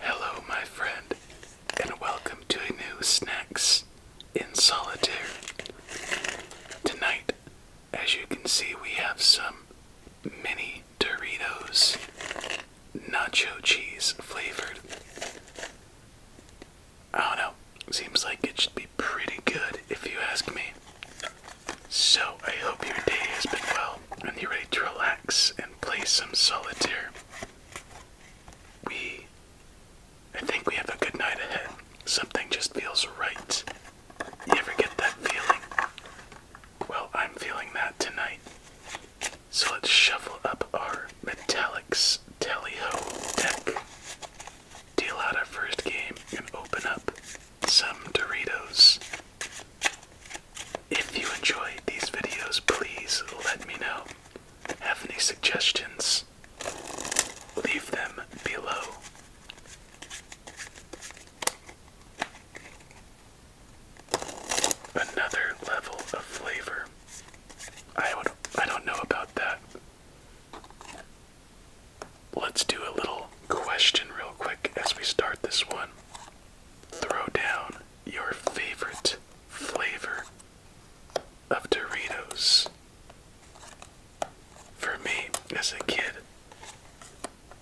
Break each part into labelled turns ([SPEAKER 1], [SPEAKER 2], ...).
[SPEAKER 1] Hello, my friend, and welcome to a new Snacks in Solitaire. Tonight, as you can see, we have some mini Doritos nacho cheese flavored. I don't know, seems like it should be pretty good if you ask me. So, I hope your day has been well and you're ready to relax and play some solitaire. We. I think we have a good night ahead. Something just feels right. You ever get that feeling? Well, I'm feeling that tonight. So let's shuffle up our Metallics Telly Ho deck, deal out our first game, and open up some Doritos. If you enjoyed these videos, please let me know. Have any suggestions? Leave them below. Another level of flavor. I would I don't know about that. Let's do a little question real quick as we start this one. Throw down your favorite flavor of Doritos. For me, as a kid,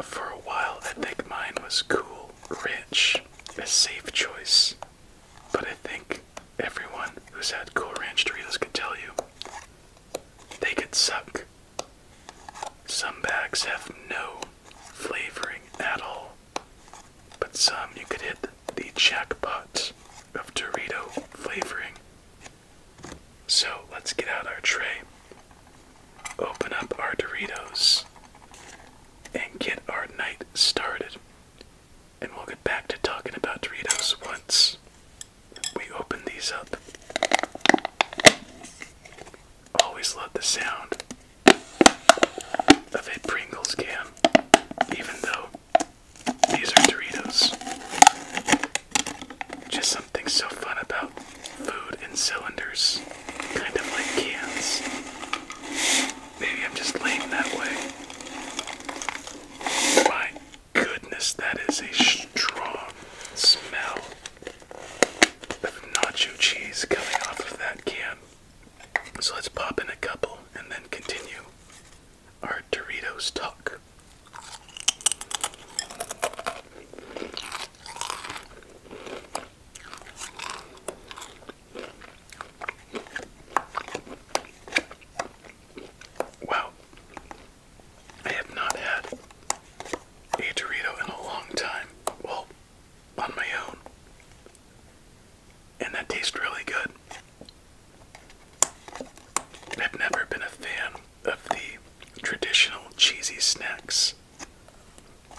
[SPEAKER 1] for a while I think mine was cool, ranch, a safe choice. But I think everyone who's had cool ranch Doritos could tell you they could suck. Some bags have no flavoring at all, but some you could hit the jackpot of Dorito flavoring. So let's get out our tray, open up our Doritos, and get our night started. And we'll get back to talking about Doritos once we open these up always love the sound of a Pringles can, even though these are Doritos. Just something so fun about food in cylinders, kind of like cans. Maybe I'm just lame that way. My goodness, that is a strong smell nacho cheese coming off of that can. So let's pop in a couple and then continue our Doritos talk. Wow, I have not had a Dorito in a long time. Well, on my own. And that tastes really good. I've never been a fan of the traditional cheesy snacks.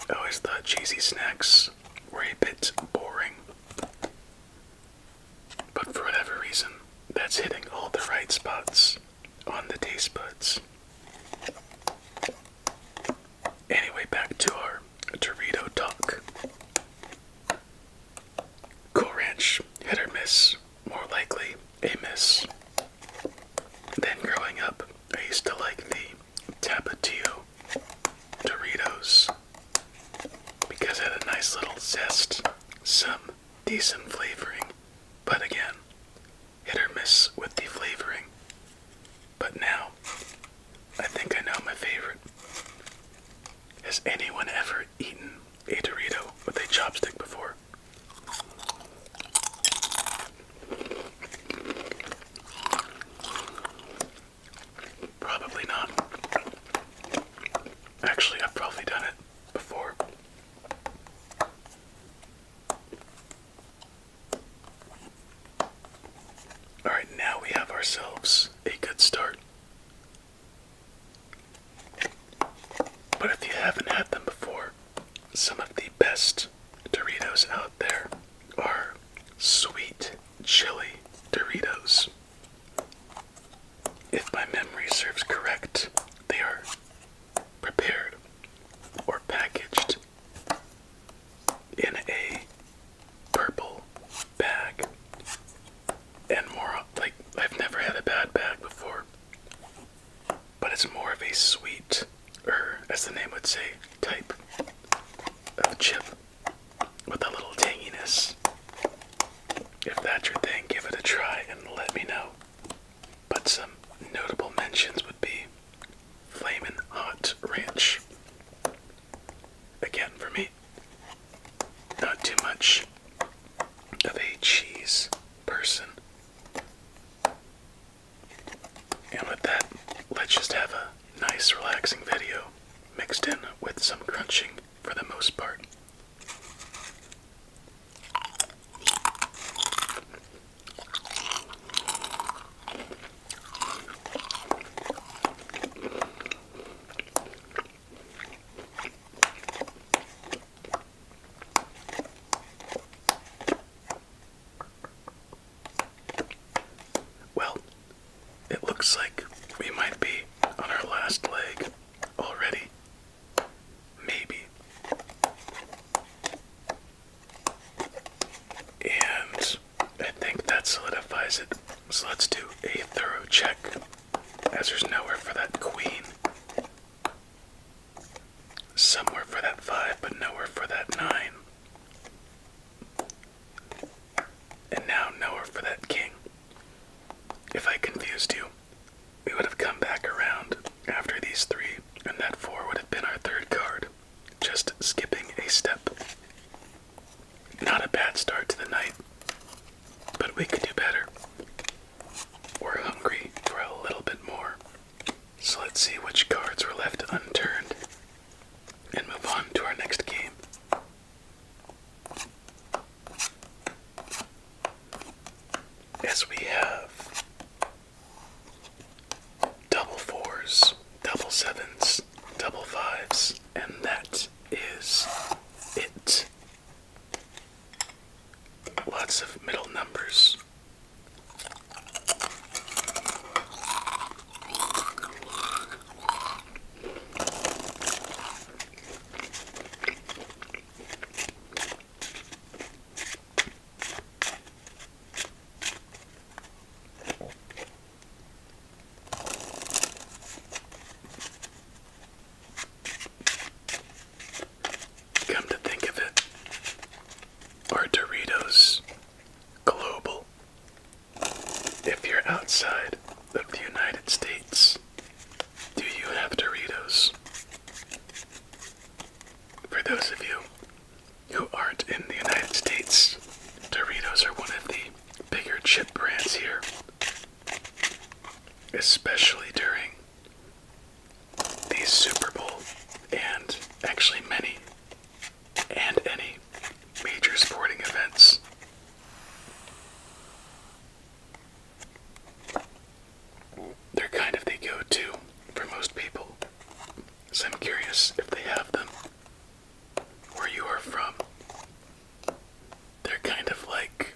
[SPEAKER 1] I always thought cheesy snacks were a bit boring. But for whatever reason, that's hitting all the right spots on the taste buds. Anyway, back to our Dorito talk. Cool Ranch, hit or miss, more likely a miss. Then growing up, I used to like the Tapatio Doritos because it had a nice little zest, some decent flavoring, but again, hit or miss with the flavoring. But now, I think I know my favorite. Has anyone ever eaten a Dorito with a chopstick before? Probably not. Actually, I've probably done it before. All right, now we have ourselves a good start. But if you haven't had them before, some of the best Doritos out there are sweet chili Doritos. If my memory serves correct, they are prepared or packaged in a purple bag. And more like I've never had a bad bag before. But it's more of a sweet, or er, as the name would say, type of chip with a little tanginess. If that's your thing, give it a try and let me know. But some notable mentions would be flaming Hot Ranch. Again, for me, not too much of a cheese person. And with that, let's just have a nice, relaxing video mixed in with some crunching for the most part. Well, it looks like we might be on our last leg already. Maybe. And I think that solidifies it. So let's do a thorough check, as there's nowhere for that queen. Somewhere for that five, but nowhere for that nine. And now nowhere for that king. If I confused you, we would have come back around after these three, and that four would have been our third card, just skipping a step. Not a bad start to the night, but we could do better. We're hungry for a little bit more, so let's see which cards were left unturned and move on to our next game as we have double fours, double sevens, double fives, and that is it. Lots of middle numbers. Come to think of it, or Doritos Global. If you're outside of the United States, do you have Doritos? For those of you who aren't in the United States, Doritos are one of the bigger chip brands here, especially during these Super Bowl and actually many and any major sporting events. They're kind of the go to for most people. So I'm curious if they have them where you are from. They're kind of like,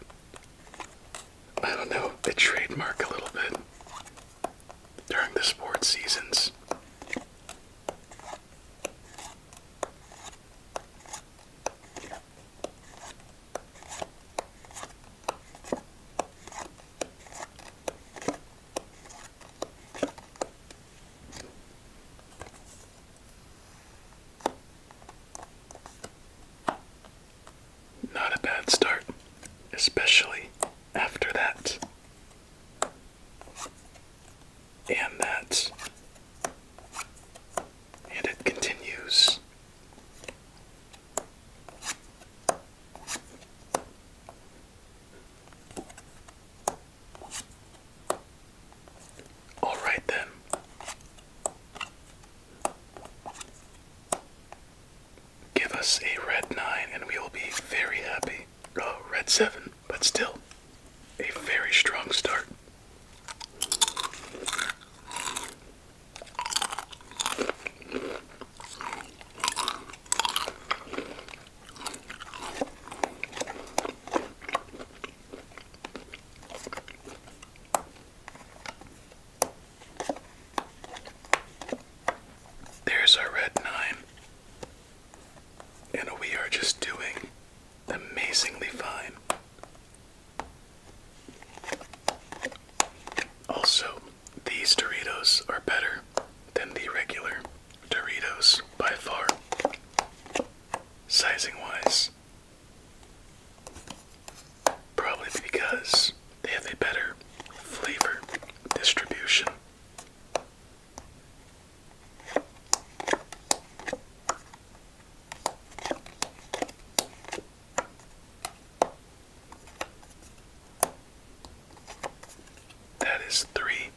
[SPEAKER 1] I don't know, a trademark a little bit during the sports seasons. Not a bad start, especially after that. And that. And it continues. All right, then. Give us a red 9 and we will be very happy. Oh, red 7, but still a very strong start. There's our red nine, and we are just doing amazingly fine. Also, these Doritos are better than the regular Doritos by far, sizing wise. Probably because they have a better flavor distribution. That is three.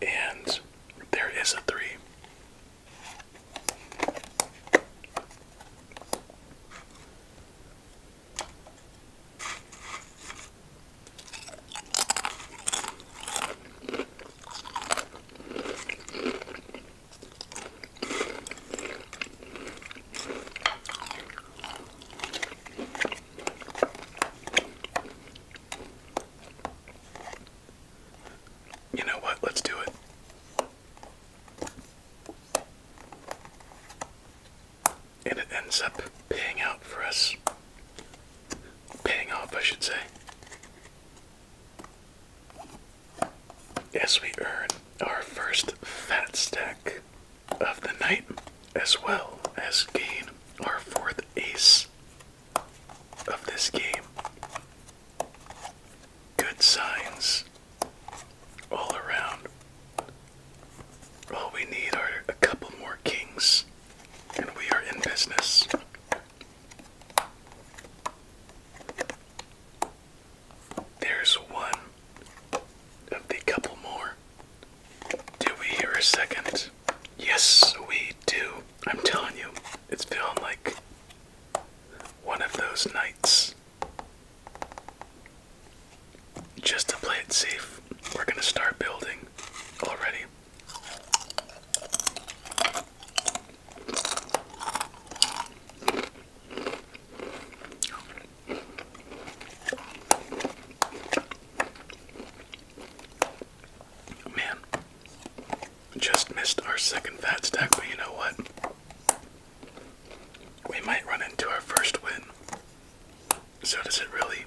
[SPEAKER 1] And there is a three. You know what? Let's do it. And it ends up paying out for us. Paying off, I should say. As we earn our first fat stack of the night, as well as gain our fourth ace of this game. Good signs all around. All we need are a couple more kings, and we are in business. There's one of the couple more. Do we hear a second? Yes, we do. I'm telling you, it's feeling like one of those nights. Just to play it safe, we're gonna start building already. Oh, man, just missed our second fat stack, but you know what? We might run into our first win. So, does it really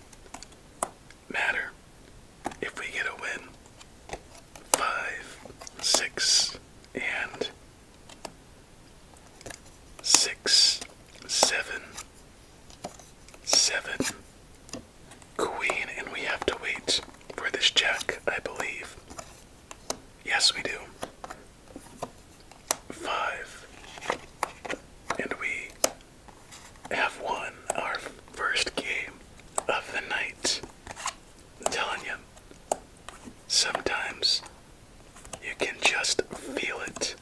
[SPEAKER 1] matter if we get a win. Five, six, and six, seven, seven, queen, and we have to wait for this jack, I believe. Yes, we do. Five, and we have won our first game of the night. I'm telling you, sometimes you can just feel it.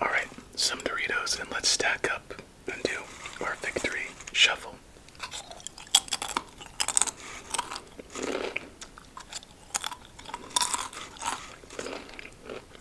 [SPEAKER 1] Alright, some Doritos, and let's stack up and do our victory shuffle.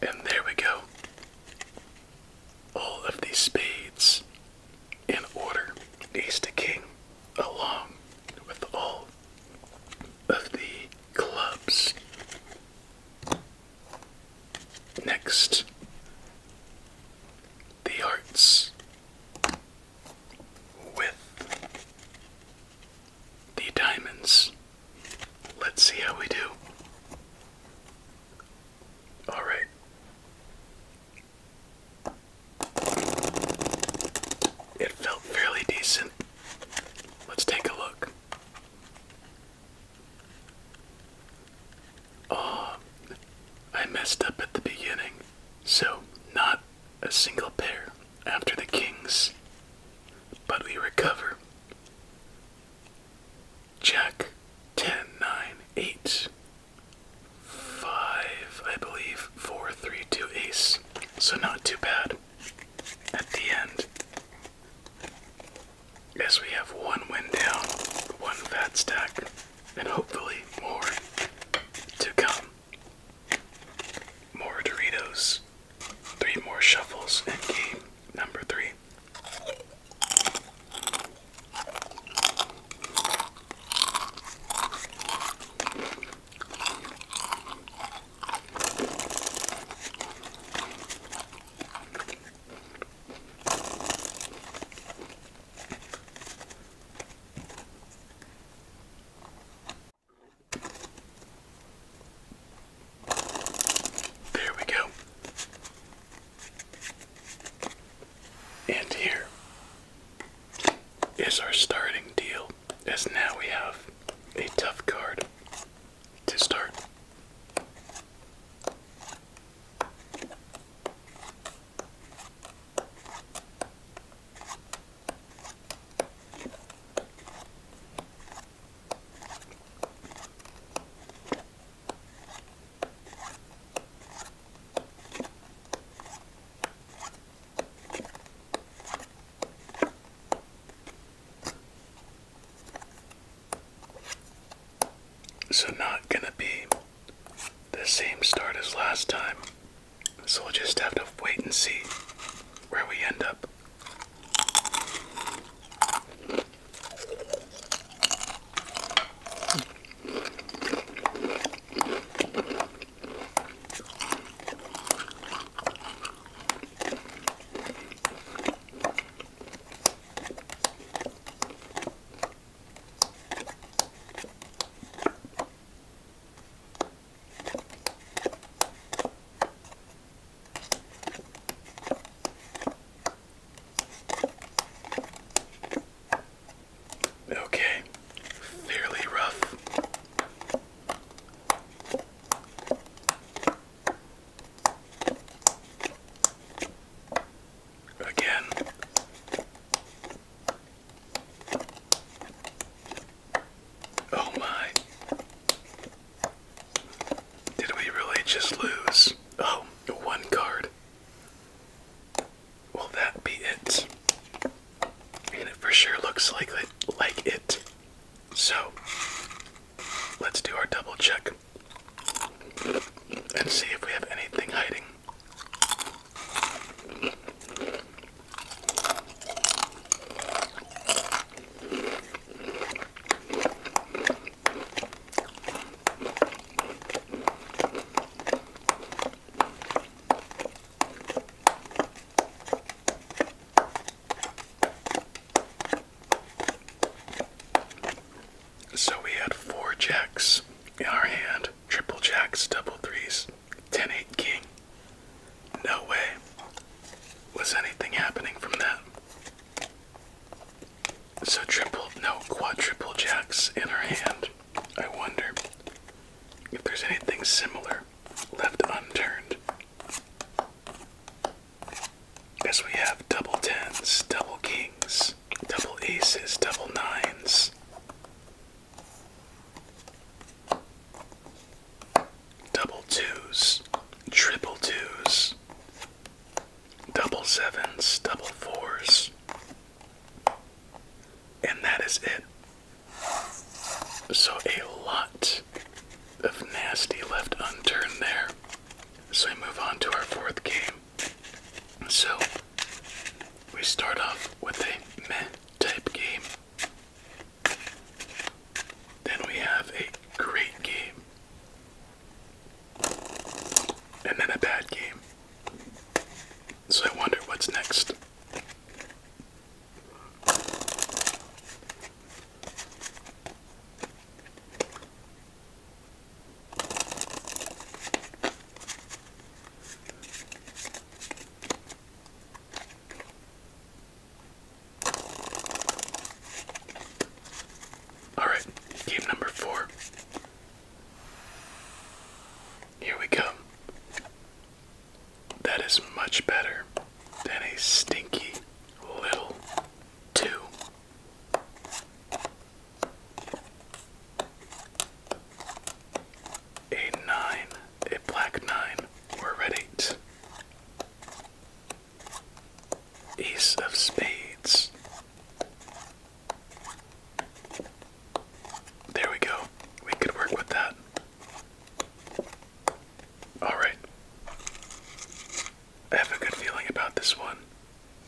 [SPEAKER 1] And there we go. All of these spades in order, ace to king, along with all of the clubs. Next, the arts with the diamonds. Let's see how we do. All right. It felt fairly decent. Let's take a look. Oh, I messed up at the beginning. So, not a single pair after the kings, but we recover. Check 10, 9, 8, 5, I believe, 4, 3, 2, ace. So, not too bad at the end. As we have one win down, one fat stack and hopefully more to come. More Doritos, three more shuffles, and game number three. There we go. And here is our starting deal, as now we have a tough card to start. So, not gonna be the same start as last time. So we'll just have to wait and see where we end up. Okay, fairly rough. Again, Oh my. Did we really just lose? Oh, one card. Will that be it? And it for sure looks like it, like it. So, let's do our double check and see if we have anything hiding. So we had four jacks in our hand triple jacks, double threes, 10 8 king. No way was anything happening from that. So, triple, no, quadruple jacks in her hand. I wonder if there's anything similar left unturned. Guess we have double tens, double kings, double aces, double nines. Double twos, triple twos, double sevens, double fours. And that is it. So a lot of nasty left unturned there. So we move on to our fourth game. So we start off with a meh type game. Then we have a great game. And then a bad game. So I wonder what's next. All right, game number four. Here we go. That is much better than a stinky little two. A nine, a black nine, or a red eight. Ace of spades. There we go. We could work with that. Alright. I have a good feeling about this one.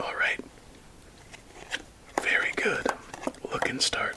[SPEAKER 1] All right. Very good. Look and start.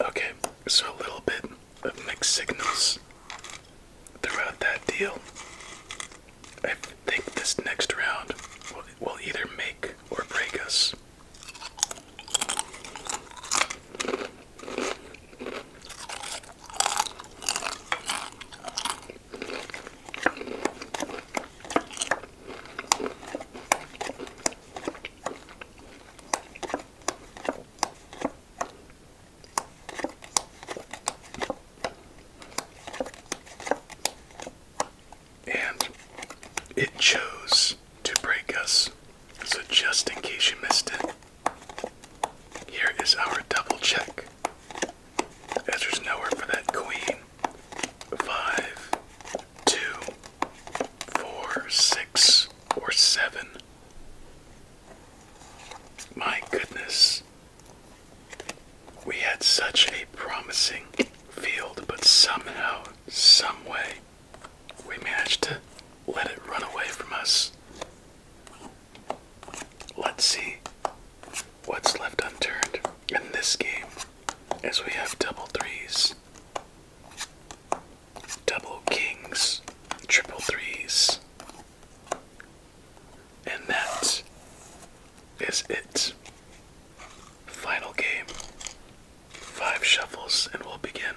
[SPEAKER 1] Okay, so a little bit of mixed signals throughout that deal. I think this next round will, will either make or break us. And it chose to break us. So, just in case you missed it, here is our double check as there's nowhere for that queen. Five, two, four, six, or seven. My goodness. We had such a promising field, but somehow, some way, we managed to let it run away from us. Let's see what's left unturned in this game As we have double threes, double kings, triple threes, and that is it. Final game. Five shuffles, and we'll begin.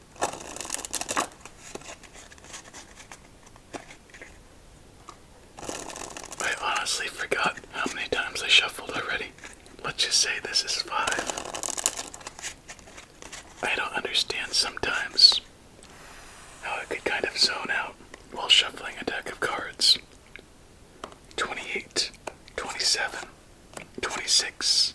[SPEAKER 1] I honestly forgot how many times I shuffled already. Let's just say this is five. I don't understand sometimes how I could kind of zone out while shuffling a deck of cards. 28, 27, 26,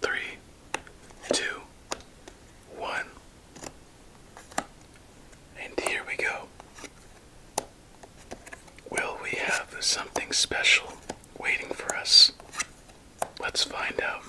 [SPEAKER 1] three, two, one. And here we go. Will we have something special waiting for us? Let's find out.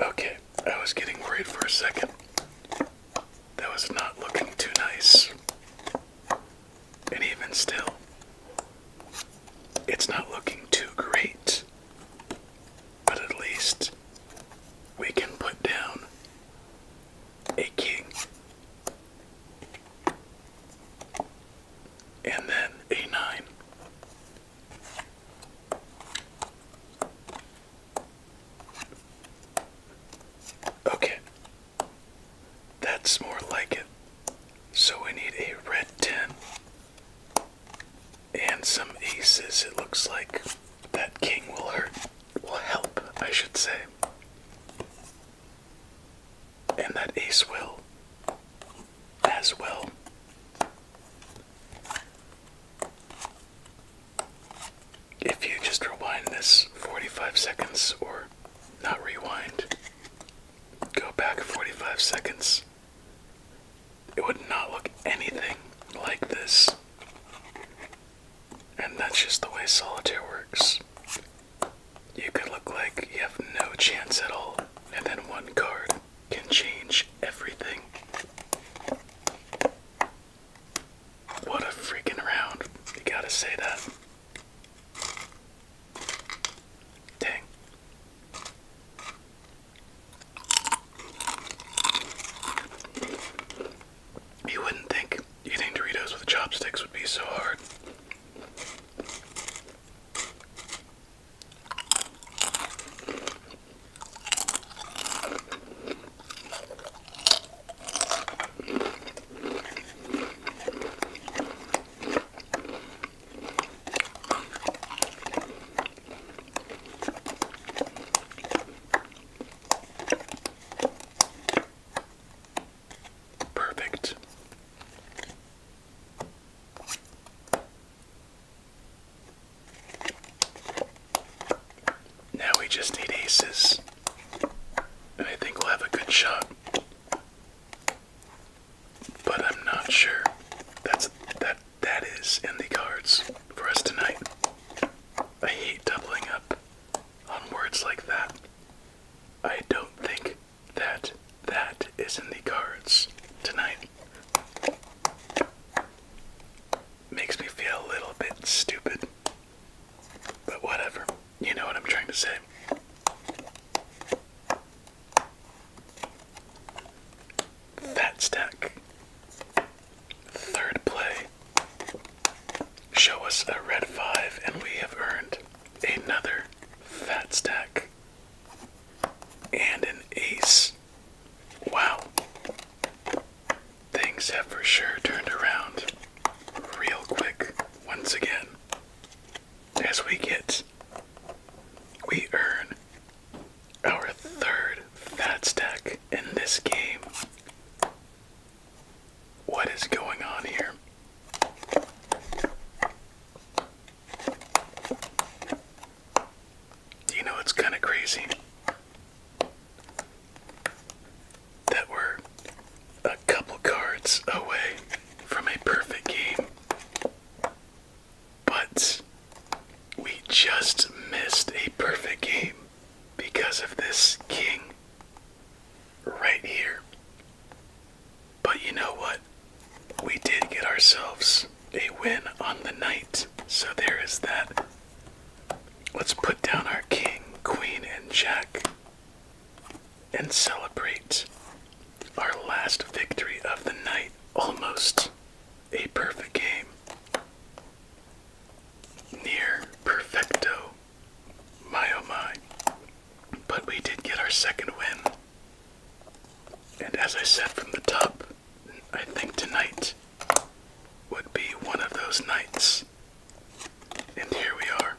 [SPEAKER 1] Okay, I was getting worried for a second. That was not looking too nice. And even still, it's not looking too great. But at least we can put down a king. And then a nine. Okay. That's more like it. So we need a red 10 and some aces. It looks like that king will hurt, will help, I should say. And that ace will as well. If you just rewind this 45 seconds or not rewind. Go back 45 seconds. It would not look anything like this. And that's just the way solitaire works. You could look like you have no chance at all, and then one card can change everything. What a freaking round. You gotta say that. Dang. You wouldn't think eating Doritos with chopsticks would be so hard. Perfect. Now we just need aces. And I think we'll have a good shot. But I'm not sure. That's that that is in the cards for us tonight. I hate doubling up on words like that. I don't think that that is in the cards tonight. Makes me feel a little bit stupid. But whatever. You know what I'm trying to say. Fat stack. Third play. Show us a red five, and we have earned another fat stack and an ace. Wow. Things have for sure turned around real quick once again. As we get, we earn our third fat stack in this game. What is going on here? You know, it's kind of crazy that were a couple cards away from a perfect game. But we just missed a perfect game because of this king right here. But you know what? We did get ourselves a win on the night, so there is that. Let's put down our king, queen, and jack and celebrate our last victory of the night. Almost a perfect game. Near perfecto. My oh my. But we did get our second win. And as I said from the top, I think tonight would be one of those nights. And here we are.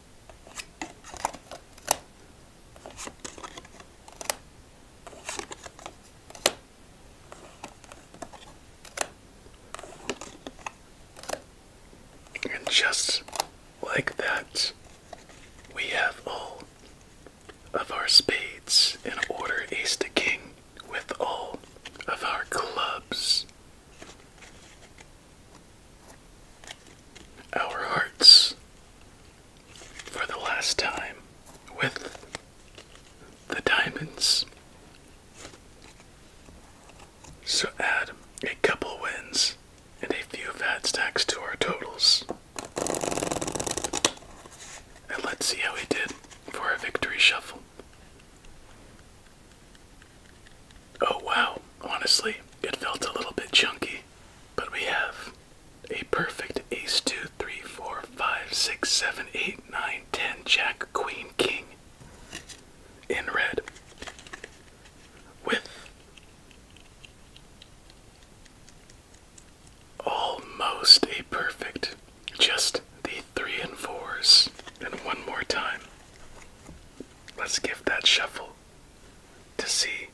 [SPEAKER 1] And just like that, we have all of our spades in order ace to king with all of our clubs our hearts for the last time with the diamonds. So add a couple wins and a few fat stacks to our totals. And let's see how we did for our victory shuffle. Oh wow, honestly, it felt a little bit chunky, but we have a perfect ace two, three, four, five, six, seven, eight, nine, ten, jack, queen, king in red with almost a perfect, just the three and fours. And one more time. Let's give that shuffle to see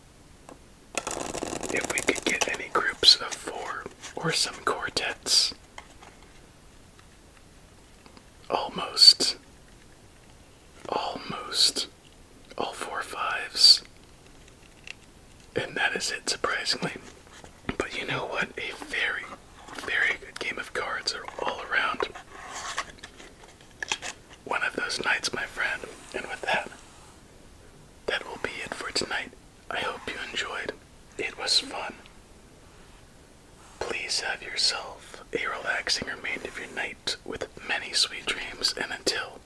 [SPEAKER 1] if we could get any groups of four or some quartets. Almost. Almost. All four fives. And that is it, surprisingly. But you know what? A very, very good game of cards are all around one of those nights, my friend. And with that, that will be it for tonight. I hope you enjoyed. It was fun. Please have yourself a relaxing remainder of your night with many sweet dreams. And until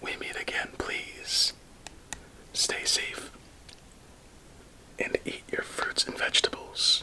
[SPEAKER 1] we meet again, please stay safe and eat your fruits and vegetables.